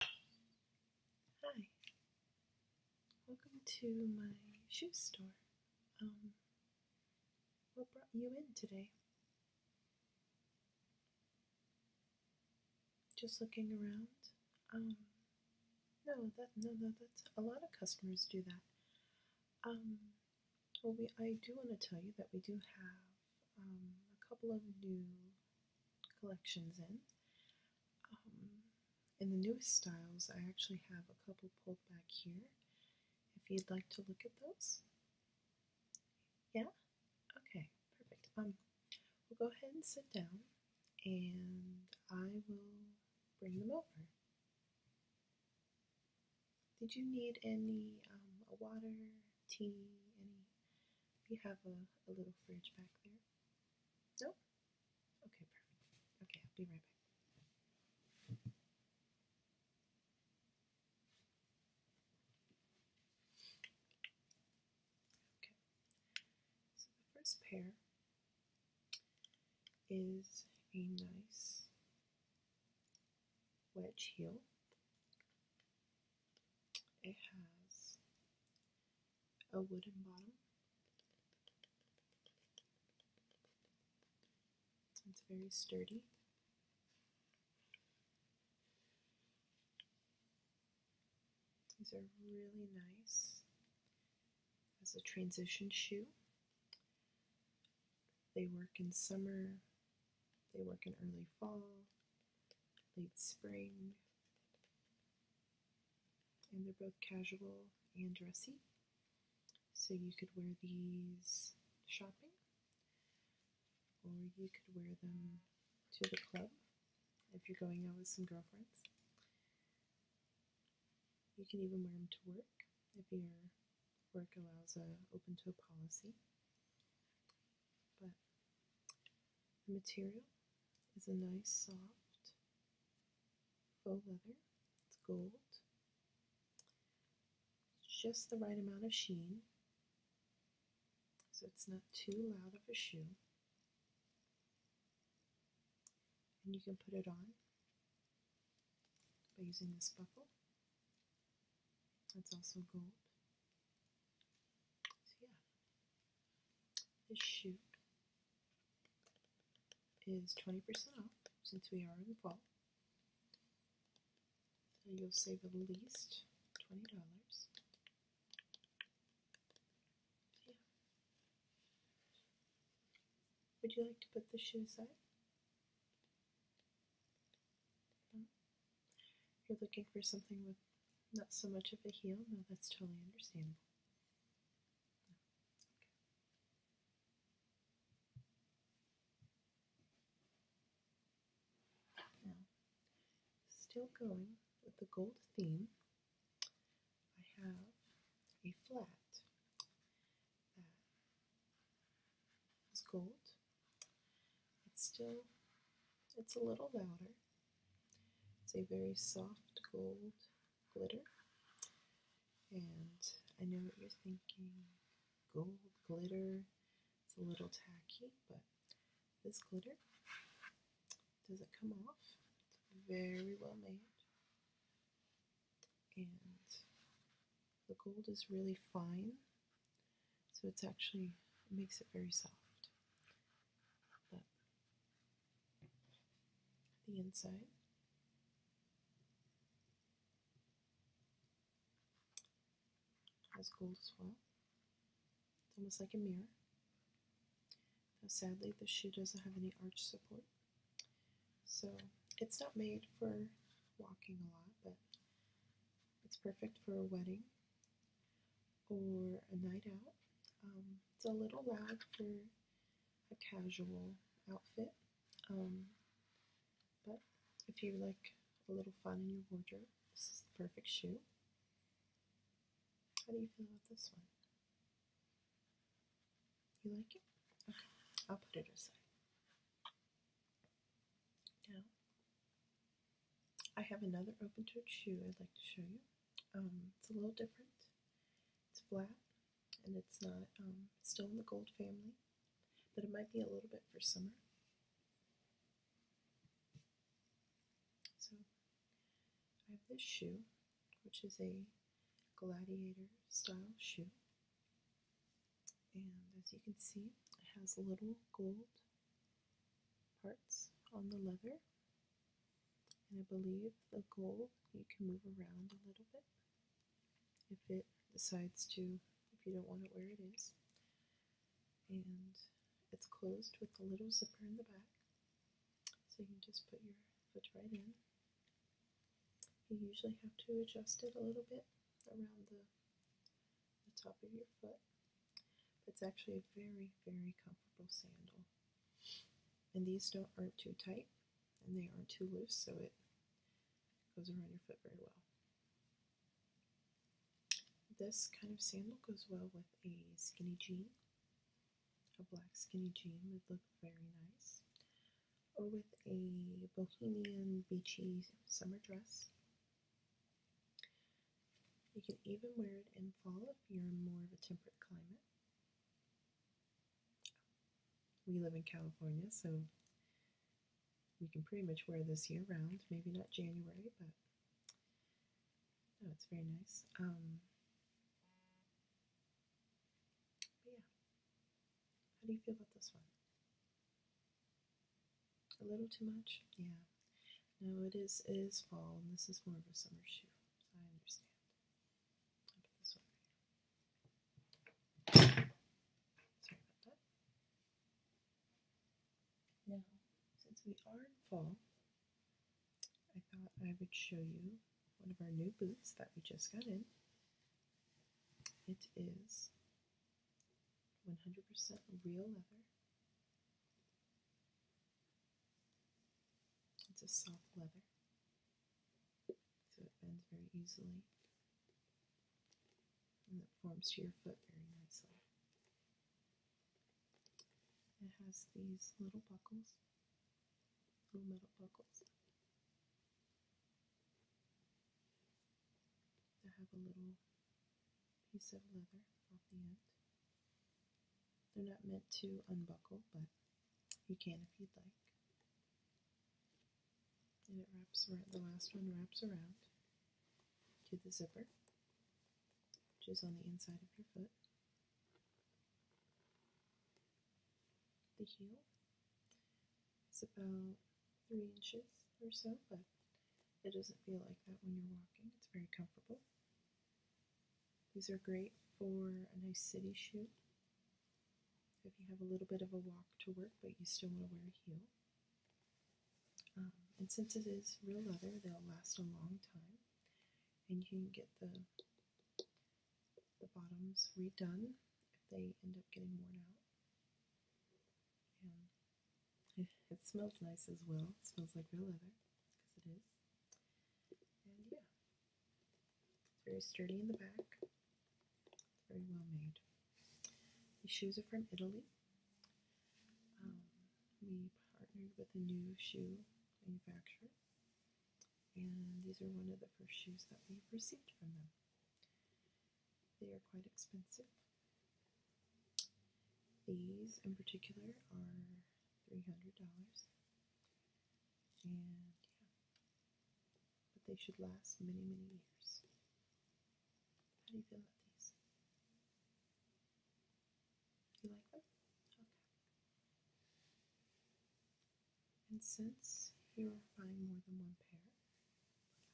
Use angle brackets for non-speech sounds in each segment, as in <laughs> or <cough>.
Hi, welcome to my shoe store. Um, what brought you in today? Just looking around. Um, no, that no, no, that's a lot of customers do that. Um, well, we I do want to tell you that we do have um, a couple of new collections in. Um, in the newest styles, I actually have a couple pulled back here. If you'd like to look at those. Yeah? Okay, perfect. Um, we'll go ahead and sit down and I will bring them over. Did you need any um, water, tea, any? We have a, a little fridge back there. Nope. Okay, perfect. Okay, I'll be right back. Okay, so the first pair is a nice wedge heel. It has a wooden bottle. It's very sturdy. These are really nice as a transition shoe. They work in summer, they work in early fall, late spring, and they're both casual and dressy. So you could wear these shopping, or you could wear them to the club if you're going out with some girlfriends. You can even wear them to work if your work allows a open toe policy but the material is a nice soft faux leather. It's gold. It's just the right amount of sheen. So it's not too loud of a shoe. And you can put it on by using this buckle. That's also gold. So yeah, this shoe is 20% off since we are in the fall. And you'll save at least $20. Yeah. Would you like to put the shoes on? You're looking for something with not so much of a heel? No, that's totally understandable. still going with the gold theme, I have a flat that is gold. It's still, it's a little louder. It's a very soft gold glitter. And I know what you're thinking gold glitter, it's a little tacky, but this glitter doesn't come off. It's very well made. And the gold is really fine, so it's actually makes it very soft the inside. Has gold as well. It's almost like a mirror. Now, sadly, the shoe doesn't have any arch support, so it's not made for walking a lot, but it's perfect for a wedding or a night out. Um, it's a little loud for a casual outfit, um, but if you like a little fun in your wardrobe, this is the perfect shoe. How do you feel about this one? You like it? Okay, I'll put it aside. Now, I have another open toed shoe I'd like to show you. Um, it's a little different. It's flat and it's not, um, still in the gold family, but it might be a little bit for summer. So I have this shoe, which is a gladiator style shoe. And as you can see, it has little gold parts on the leather. And I believe the gold you can move around a little bit if it decides to, if you don't want it where it is. And it's closed with a little zipper in the back. So you can just put your foot right in. You usually have to adjust it a little bit around the, the top of your foot it's actually a very, very comfortable sandal. And these don't aren't too tight and they aren't too loose, so it goes around your foot very well. This kind of sandal goes well with a skinny jean. A black skinny jean would look very nice. Or with a bohemian beachy summer dress. You can even wear it in fall if you're in more of a temperate climate. We live in California, so we can pretty much wear this year round. Maybe not January, but no, oh, it's very nice. Um, yeah, how do you feel about this one? A little too much? Yeah. No, it is it is fall, and this is more of a summer shoe. I understand. Sorry Now, since we are in fall, I thought I would show you one of our new boots that we just got in. It is 100% real leather. It's a soft leather, so it bends very easily and it forms to your foot very nicely. It has these little buckles, little metal buckles that have a little piece of leather off the end. They're not meant to unbuckle, but you can if you'd like. And it wraps around, the last one wraps around to the zipper, which is on the inside of your foot. The heel is about three inches or so, but it doesn't feel like that when you're walking. It's very comfortable. These are great for a nice city shoot. If you have a little bit of a walk to work, but you still want to wear a heel. Um, and since it is real leather, they'll last a long time. And you can get the, the bottoms redone if they end up getting worn out. And it, <laughs> it smells nice as well. It smells like real leather, because it is yeah, it's very sturdy in the back. very well made. These shoes are from Italy. Um, we partnered with a new shoe manufacturer, and these are one of the first shoes that we've received from them. They are quite expensive. These in particular are $300. And yeah, but they should last many, many years. How do you feel about these? You like them? Okay. And since you're buying more than one pair,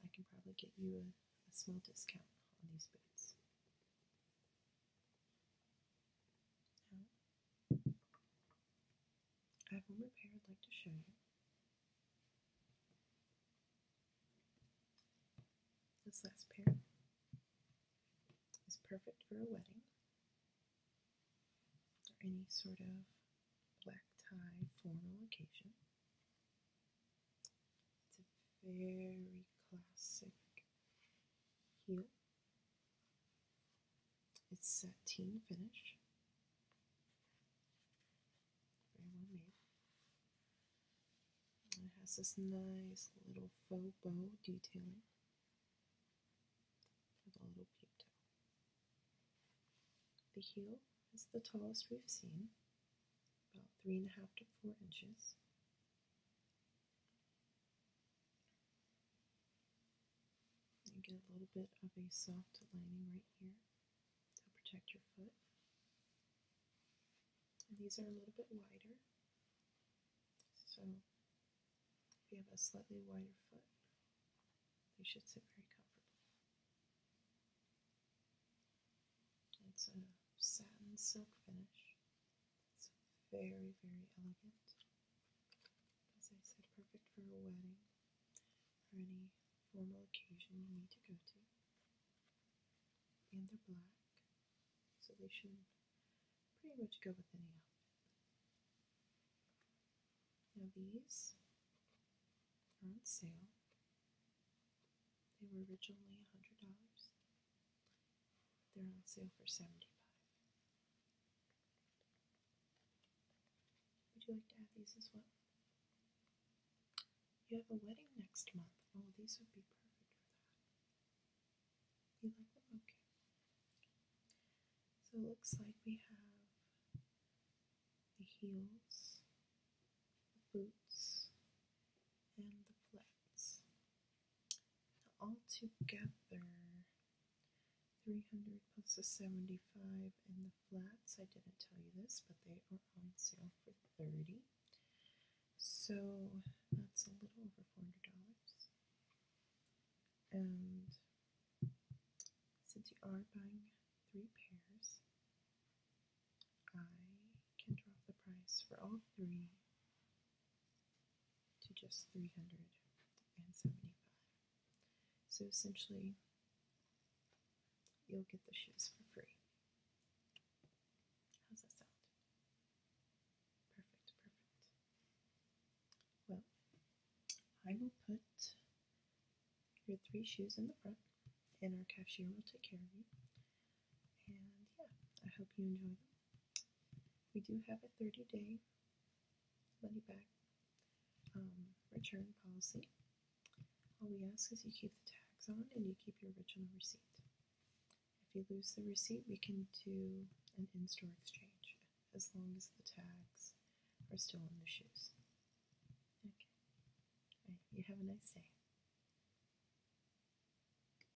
I can probably get you a, a small discount on these boots. I have one repair I'd like to show you. This last pair is perfect for a wedding or any sort of black tie formal occasion. It's a very classic here. It's sateen finish. Very well made. it has this nice little faux bow detailing with a little peep toe. The heel is the tallest we've seen, about three and a half to four inches. You get a little bit of a soft lining right here to protect your foot. these are a little bit wider, so if you have a slightly wider foot, they should sit very comfortably. It's a satin silk finish it's very, very elegant. As I said, perfect for a wedding or any formal occasion you need to go to. And they're black, so they should pretty much go with any outfit. Now, these are on sale. They were originally $100. They're on sale for seventy five. Would you like to have these as well? You have a wedding next month. Oh, these would be perfect for that. You like them? Okay. So it looks like we have the heels, the boots, and the flats altogether 300 plus the 75 in the flats I didn't tell you this but they are on sale for 30 so that's a little over $400 and since you are buying three pairs I can drop the price for all three to just 375. So essentially, you'll get the shoes for free. How's that sound? Perfect, perfect. Well, I will put your three shoes in the front, and our cashier will take care of you. And yeah, I hope you enjoy them. We do have a 30 day money back um, return policy. All we ask is you keep the tags on and you keep your original receipt. If you lose the receipt, we can do an in store exchange as long as the tags are still on the shoes. Okay. You have a nice day.